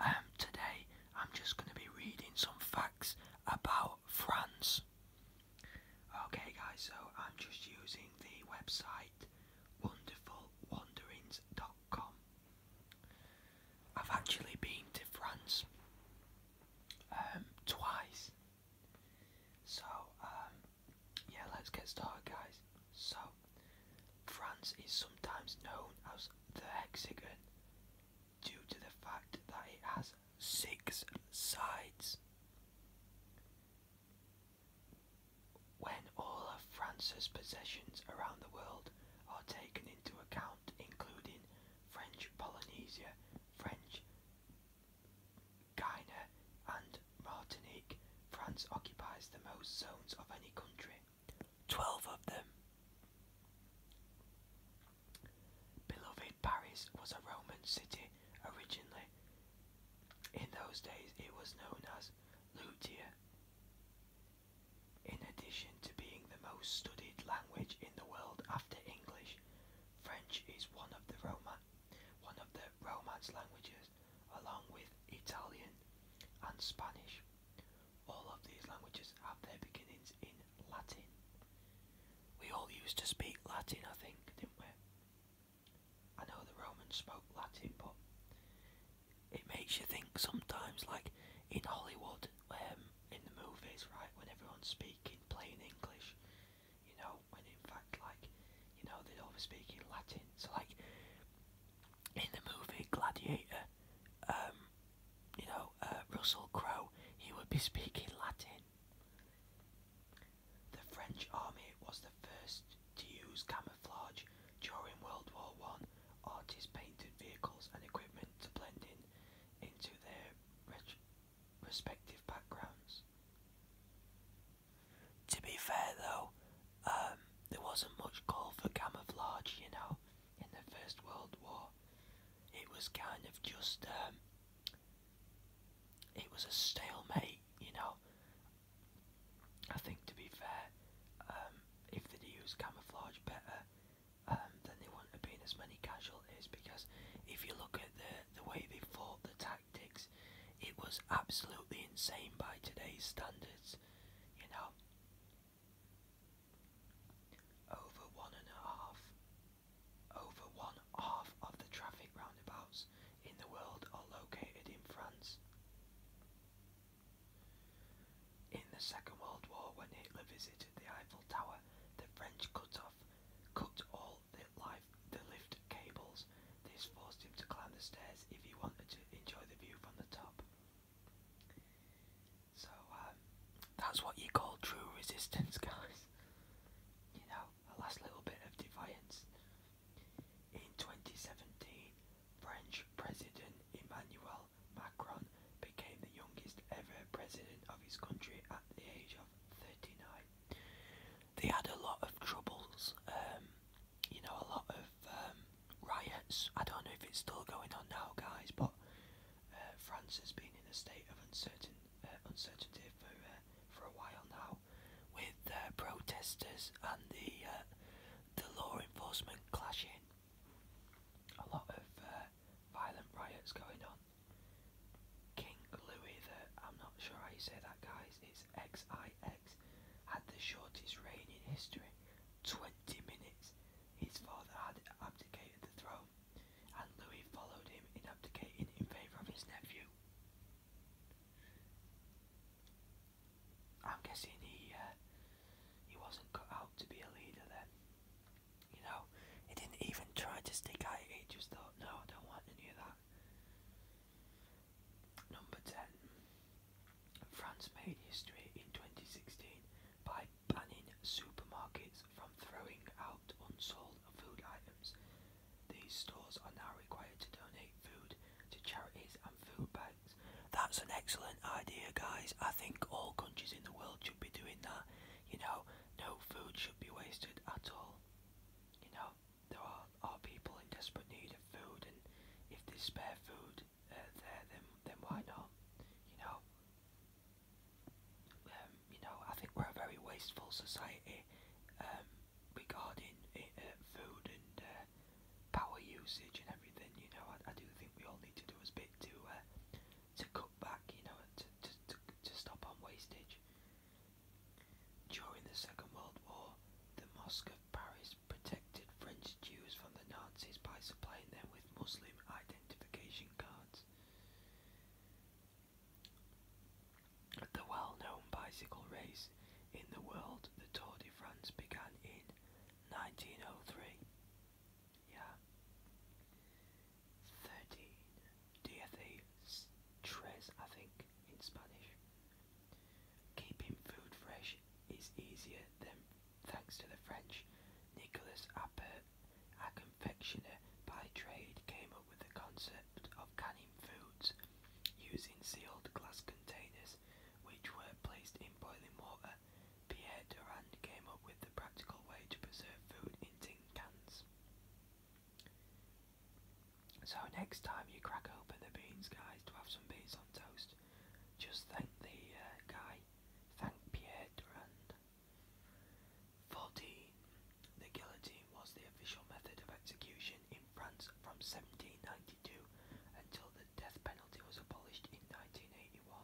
Um, today I'm just going to be reading some facts about France. Okay, guys, so I'm just using the website wonderfulwanderings.com. I've actually been to France um, twice. So, um, yeah, let's get started, guys. So, France is sometimes known as the hexagon due to the fact that it has six sides. When all of France's possessions around the world are taken into account, including French Polynesia, French Guiana, and Martinique, France occupies the most zones of any country. Twelve of them. Beloved Paris was a Roman city originally. In those days it was known as Lutia. In addition to being the most studied language in the world after English, French is one of the Roman, one of the Romance languages, along with Italian and Spanish. All of these languages have their beginnings in Latin. We all used to speak Latin, I think, didn't we? I know the Romans spoke Latin, but it makes you think sometimes, like in Hollywood, um, in the movies, right, when everyone's speaking plain English, you know, when in fact, like, you know, they are all speaking Latin. So, like, in the movie Gladiator, um, you know, uh, Russell Crowe, he would be speaking Latin. The French army was the first to use camouflage during World War One. Artists painted vehicles and equipment to blend in into their respective backgrounds. To be fair though, um, there wasn't much call for camouflage, you know in the First World War. It was kind of just, um, it was a stalemate, you know. I think to be fair, um, if they'd used camouflage better, um, then they wouldn't have been as many casualties because if you look at the, the way they fought, the tactics, it was absolutely insane by today's standards, you know. Over one and a half, over one half of the traffic roundabouts in the world are located in France. In the Second World War, when Hitler visited the Eiffel Tower, the French cut off, cut all the, the lift cables. This forced him to climb the stairs if he wanted to enjoy the view from the top. So um, that's what you call true resistance, guys. You know, a last little bit of defiance. In 2017, French President Emmanuel Macron became the youngest ever president of his country at the age of 39. They had a lot of troubles, um, you know, a lot of um, riots. I don't know if it's still going on now, guys, but uh, France has been in a state of uncertain uh, uncertainty for uh, for a while now, with protesters and the the law enforcement clashing. A lot of violent riots going on. King Louis the I'm not sure how you say that, guys. It's X I X had the shortest reign in history, 20 Ten minutes, his father had abdicated the throne, and Louis followed him in abdicating in favour of his nephew. I'm guessing he uh, he wasn't cut out to be a leader then. You know, he didn't even try to stick out. He just thought, no, I don't want any of that. Number ten. France made history in 2016 by banning supermarkets from throwing out unsold food items. These stores are now required to donate food to charities and food banks. That's an excellent idea, guys. I think all countries in the world should be doing that. You know, no food should be wasted at all. You know, there are, are people in desperate need of food, and if they spare food, then then why not? You know, um, you know, I think we're a very wasteful society um, regarding eh, eh, food and uh, power usage and everything. You know, I, do think we all need to do a bit to uh, to cut back. You know, to, to to stop on wastage. During the Second World War, the Mosque of Paris protected French Jews from the Nazis by supplying them with Muslim identification cards. The well known bicycle race in the world, the Tour de France, began in 1903. Yeah. 13. DFA's tres, I think, in Spanish. Keeping food fresh is easier than Thanks to the French, Nicolas Appert, a confectioner by trade, came up with the concept of canning foods using sealed glass containers which were placed in boiling water. Pierre Durand came up with the practical way to preserve food in tin cans. So next time you crack open the beans, guys, to have some beans on toast, just thank the uh, guy, thank Pierre Durand. 14. The guillotine was the official method of execution in France from 1792 until the death penalty was abolished in 1981.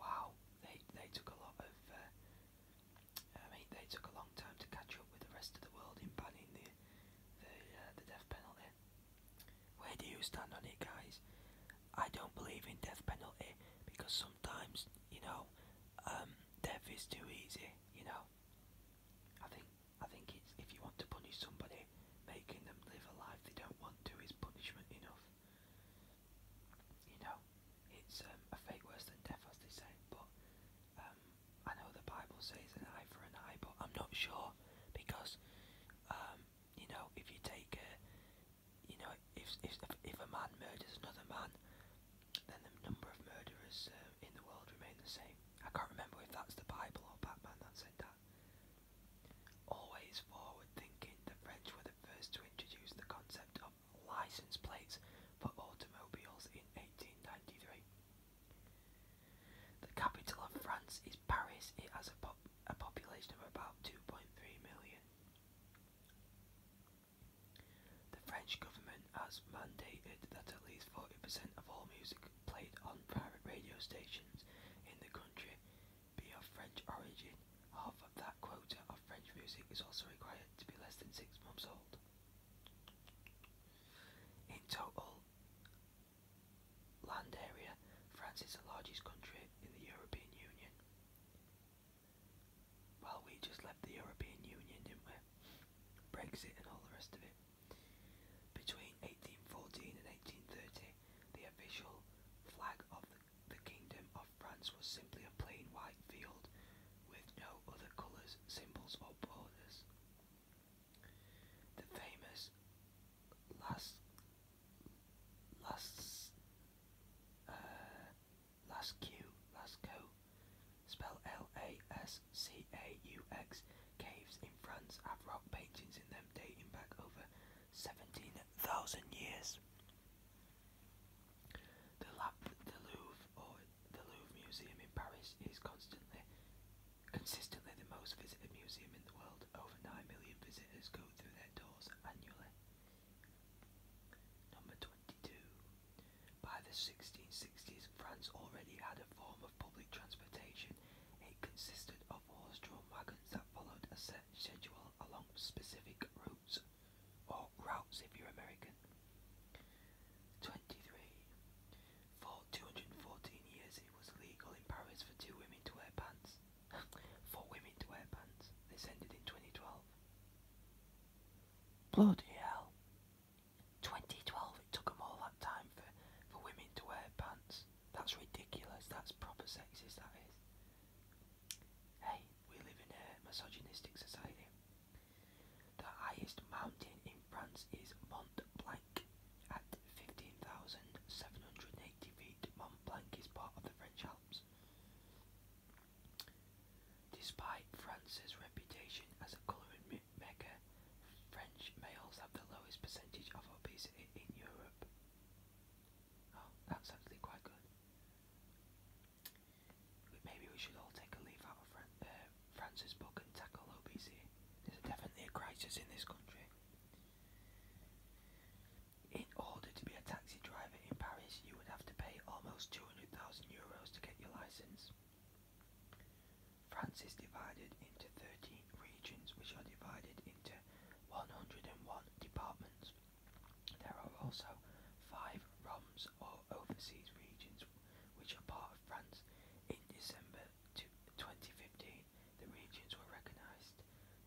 Wow, they, they took a lot of. Uh, I mean, they took a long time to catch up with the rest of the world in banning the the uh, death penalty it. Where do you stand on it, guys? I don't believe in death penalty because sometimes, you know, um, death is too easy. You know, I think I think it's if you want to punish somebody, making them live a life they don't want to is punishment enough. You know, it's um, a fate worse than death, as they say. But um, I know the Bible says an eye for an eye, but I'm not sure because you know, if you take a, you know, if if if a man murders another man, then the number of murderers uh, in the world remain the same. I can't remember if that's the Bible or Batman that said that. Always forward thinking, the French were the first to introduce the concept of license plates for automobiles in 1893. The capital of France is Paris. It has a, pop a population of about 2.3 million. The French government has mandated that at least 40% of all music played on private radio stations in the country be of French origin. Half of that quota of French music is also required to be less than six months old. In total, land area, France is the largest country in the European Union. Well, we just left the European Union, didn't we? Brexit and all the rest of it. Between 1814 and 1830, the official flag of the, Kingdom of France was simply a plain white field with no other colours, symbols, or borders. The famous Las Las uh, L A S C A U X, caves in France have rock paintings in them dating back over 17,000 years. the Louvre Museum in Paris is constantly Consistently the most visited museum in the world, over 9 million visitors go through their doors annually. Number 22. By the 1660s, France already had a form of public transportation. It consisted of horse-drawn wagons that followed a set schedule along specific routes, or routes if you're American. 23. For 214 years it was legal in Paris for two women to wear pants. for women to wear pants. This ended in 2012. Bloody hell. 2012, it took them all that time for, for women to wear pants. That's ridiculous. That's proper sexist, that is. Hey, we live in a misogynistic society. The highest mountain in France is Mont Blanc. At 15,780 feet, Mont Blanc is part of the French Alps. Despite France's reputation as a calorie mecca, French males have the lowest percentage of obesity in Europe. Oh, that's actually quite good. Maybe we should all take a leaf out of Fran uh, France's book and tackle obesity. There's definitely a crisis in this country. In order to be a taxi driver in Paris, you would have to pay almost 200,000 euros to get your license. France is divided into 13 regions, which are divided into 101 departments. There are also five ROMs or overseas regions, which are part of France in December 2015 the regions were recognised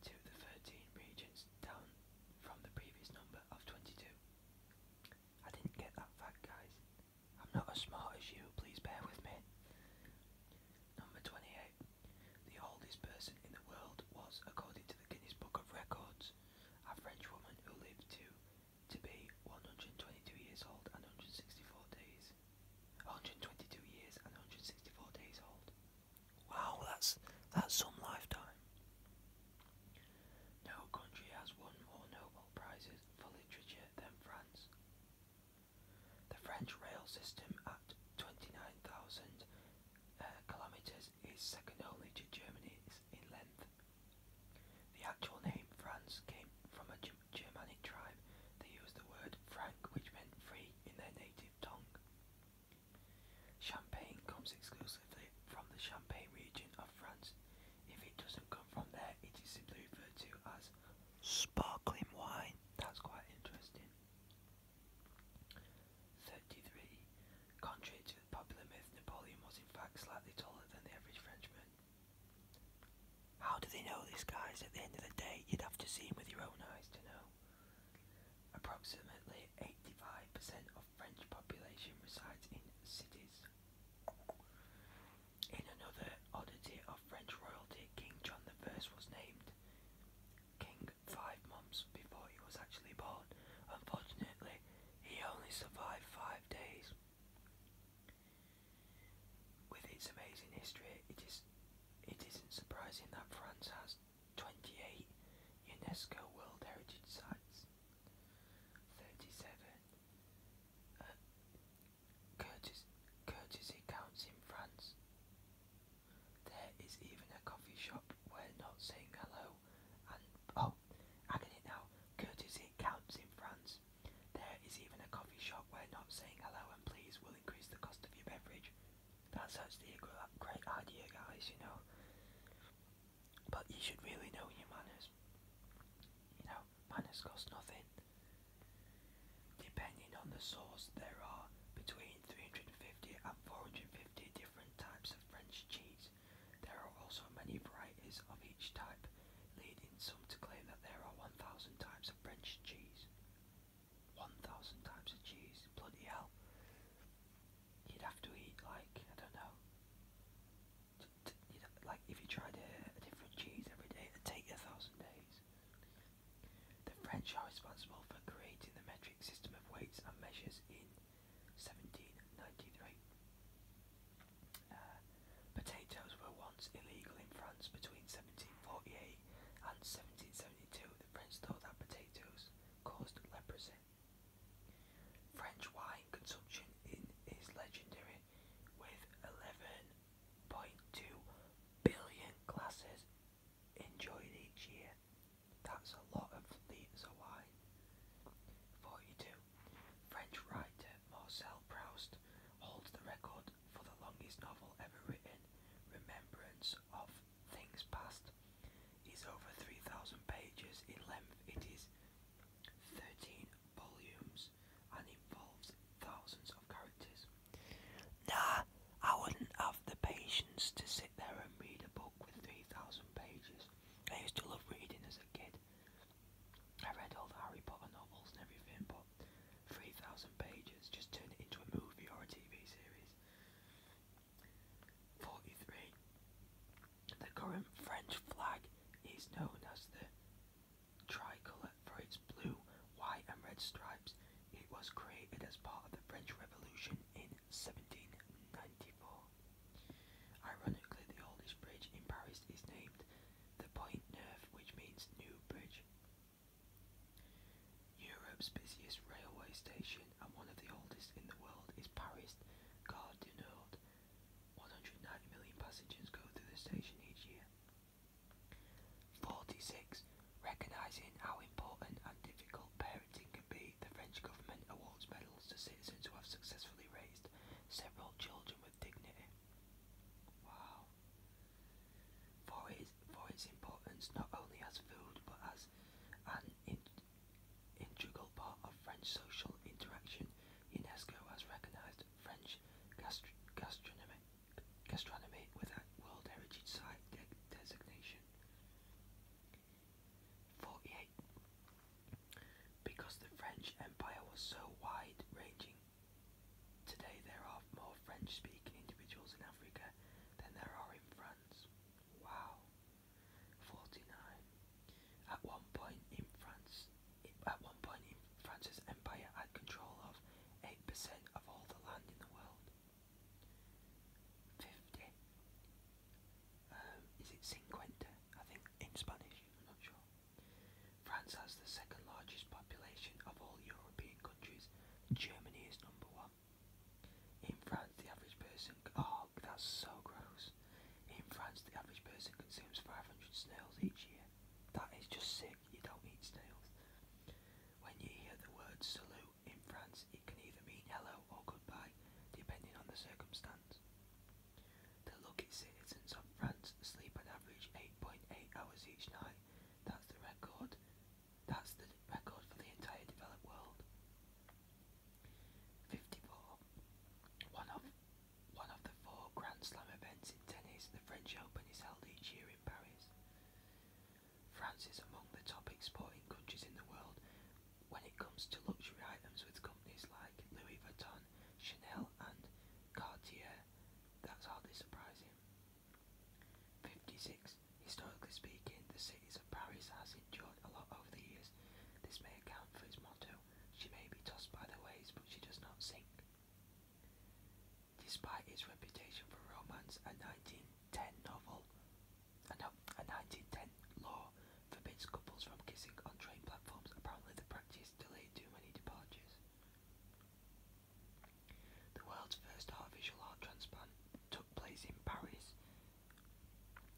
to the 13 regions down from the previous number of 22. I didn't get that fact, guys. I'm not as smart as you, please bear with me. Number 28. The oldest person in the world was, according to the Guinness Book of Records, a French woman who lived to to be 122 years old and 164 days. 122 years and 164 days old. Wow, that's that's some lifetime. No country has won more Nobel Prizes for literature than France. The French rail system at 29,000 uh, kilometres is second only to Germany's in length. The actual name France came from a German Germanic tribe, they used the word Frank, which meant free in their native tongue. Champagne comes exclusively from the Champagne region of France. If it doesn't come from there, it is simply referred to as sparkling wine. That's quite interesting. 33. Contrary to the popular myth, Napoleon was in fact slightly taller than the average Frenchman. How do they know these guys? At the end of the day, you'd have to see him with your own eyes to know. Approximately 85% of French population resides in cities. In another oddity of French royalty, King John I was named king five months before he was actually born. Unfortunately, he only survived five days. With its amazing history, it is it isn't surprising that France has 28 UNESCO World Heritage Sites. 37. Uh, courtesy counts in France. There is even a coffee shop where not saying hello and oh, I it now. Courtesy counts in France. There is even a coffee shop where not saying hello and please will increase the cost of your beverage. That's actually a great idea, guys, you know. But you should really know your manners. You know, manners cost nothing. Depending on the source, there are between 350 and 450 different types of French cheese. There are also many varieties of each type, leading some to claim that there are 1,000 types French cheese. 1,000 types of cheese, bloody hell. You'd have to eat like, I don't know, like if you tried a, different cheese every day, it'd take you a thousand days. The French are responsible for creating the metric system of weights and measures in 1793. Uh, Potatoes were once illegal in France between 1748 and 1772. The French thought that potatoes caused leprosy. French wine consumption is legendary with 11.2 billion glasses enjoyed each year. That's a lot of litres of wine. 42. French writer Marcel Proust holds the record for the longest novel ever written, Remembrance of Things Past, is over 3,000 pages in length. It is 13 volumes and involves thousands of characters. Nah, I wouldn't have the patience to sit there and read a book with 3,000 pages. I used to love reading as a kid. I read all the Harry Potter novels and everything, but 3,000 pages, just turn it into a movie or a TV series. 43. The current French flag is known as the tricolour for its blue, white, and red stripes. It was created as part of the French Revolution in 1794. Ironically, the oldest bridge in Paris is named the Point Neuf, which means new bridge. Europe's busiest railway station and one of the oldest in the world is Paris Gare du Nord. 190 million passengers go through the station each year. 46. Recognising how important and difficult parenting can be, the French government awards medals to citizens who have successfully raised several children with dignity. Wow for its, for its importance not only as food but as an integral part of French social interaction. UNESCO has recognised French gastronomy, gastronomy with a World Heritage Site designation. 48. Because the French Empire was so wide ranging, Today there are more French-speaking individuals in Africa than there are in France. Wow. 49. At one point in France, at one point in France's empire had control of 8% of all the land in the world. 50. Um, is it cinquenta? I think in Spanish, I'm not sure. France has the second largest population of all European countries. Germany is number one. In France, the average person. Oh, that's so gross. In France, the average person consumes 500 snails each year. That is just sick. You don't eat snails. When you hear the word salute in France, it can either mean hello or goodbye, depending on the circumstance. The lucky citizens of France sleep an average 8.8 hours each night. That's the record. That's the record for the entire developed world. 54. One of one of the four Grand Slam events in tennis, the French Open is held each year in Paris. France is among the top exporting countries in the world when it comes to luxury items with companies like Louis Vuitton, Chanel and Cartier that's hardly surprising. 56. Historically speaking, the city of Paris has endured a lot over the years. This may account for its motto, she may be tossed by the waves, but she does not sink. Despite its reputation for romance, a 1910 novel, and a 1910 law forbids couples from kissing on train platforms. Apparently the practice delayed too many departures. The world's first artificial heart transplant took place in Paris,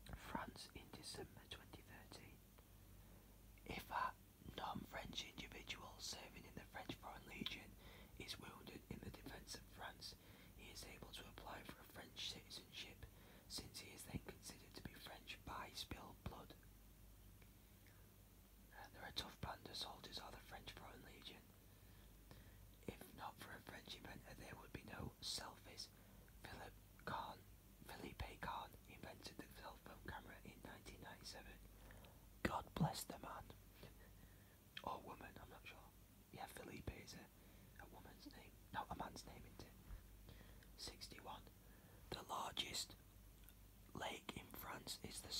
France in December 2013. If a non-French individual serving in the French Foreign Legion is wounded in the defence of France, he is able to apply for a French citizenship since he is then considered to be French by spilled blood. There are tough band, the soldiers are the French Foreign Legion. If not for a French inventor, uh, there would be no selfies. Philip Kahn, Philippe Kahn invented the cell phone camera in 1997. God bless the man. or woman, I'm not sure. Yeah, Philippe is a, a woman's name. not a man's name, 61. The largest lake in France is the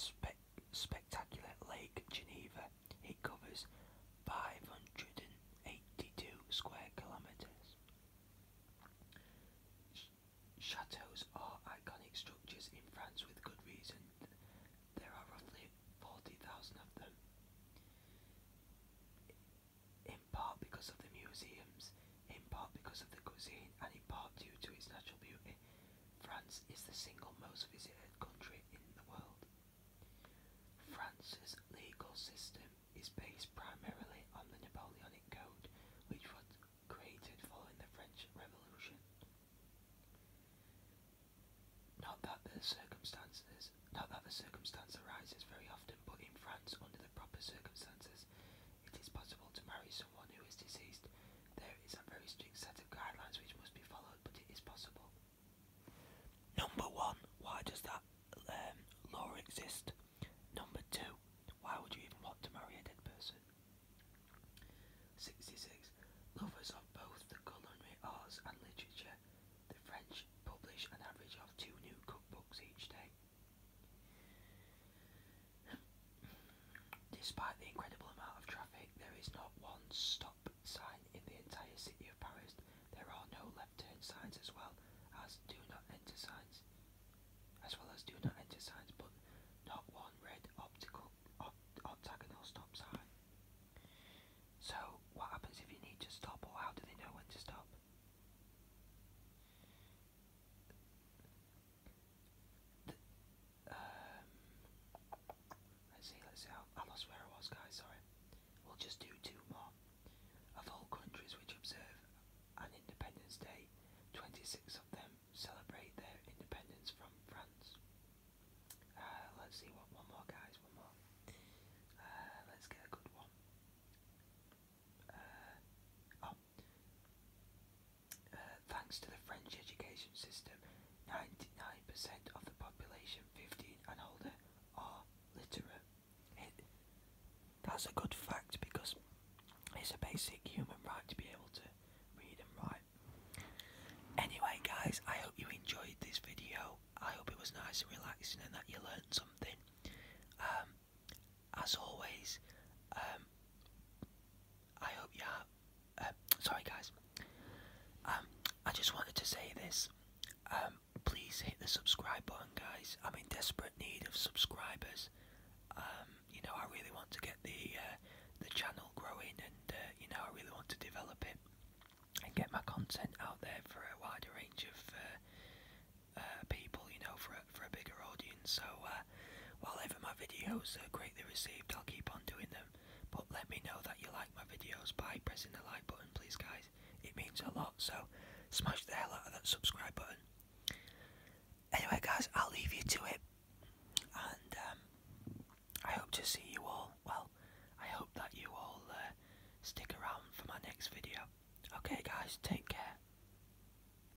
spectacular Lake Geneva. It covers 582 square kilometres. Châteaux are iconic structures in France with good reason. There are roughly 40,000 of them. In part because of the museums in part because of the cuisine and in part due to its natural beauty. France is the single most visited country in the world. France's legal system is based primarily on the Napoleonic Code, which was created following the French Revolution. Not that the circumstances, not that the circumstance arises very often, but in France, under the proper circumstances, it is possible to marry someone who is deceased there is a very strict set of guidelines which must be followed, but it is possible. Number one, why does that um, law exist? Number two, why would you even want to marry a dead person? 66. Lovers of both culinary arts and literature, the French publish an average of two new cookbooks each day. Despite the incredible amount of traffic, there is not one stop sign in the entire city of Paris. There are no left turn signs as well as do not enter signs. As well as do not enter signs, but not one red optical octagonal stop sign. So, what happens if you need to stop, or how do they know when to stop? Um, let's see, let's see. I lost where I was, guys. Sorry. We'll just do two more. Of all countries which observe an Independence Day, 26 of them celebrate their independence from France. Uh, let's see what one more, guys. One more. Uh, let's get a good one. Uh, oh. Uh, thanks to the French education system, 99% of the population 15 and older are literate. that's a good fact because it's a basic human right to be able to read and write. Anyway, guys, I hope you enjoyed this video. I hope it was nice and relaxing and that you learned something. Um, as always, um, I hope you are. Uh, um, sorry, guys. Um, I just wanted to say this. Um, please hit the subscribe button, guys. I'm in desperate need of subscribers. Um, you know, I really want to get the uh, the channel growing, and uh, you know, I really want to develop it and get my content out there for a wider range of uh, uh, people. You know, for for a bigger audience. So uh, while ever my videos are greatly received, I'll keep on doing them. But let me know that you like my videos by pressing the like button, please, guys. It means a lot. So smash the hell out of that subscribe button. Anyway, guys, I'll leave you to it, and um, I hope to see you all. Well, I hope that you all uh, stick around for my next video. Okay, guys, take care.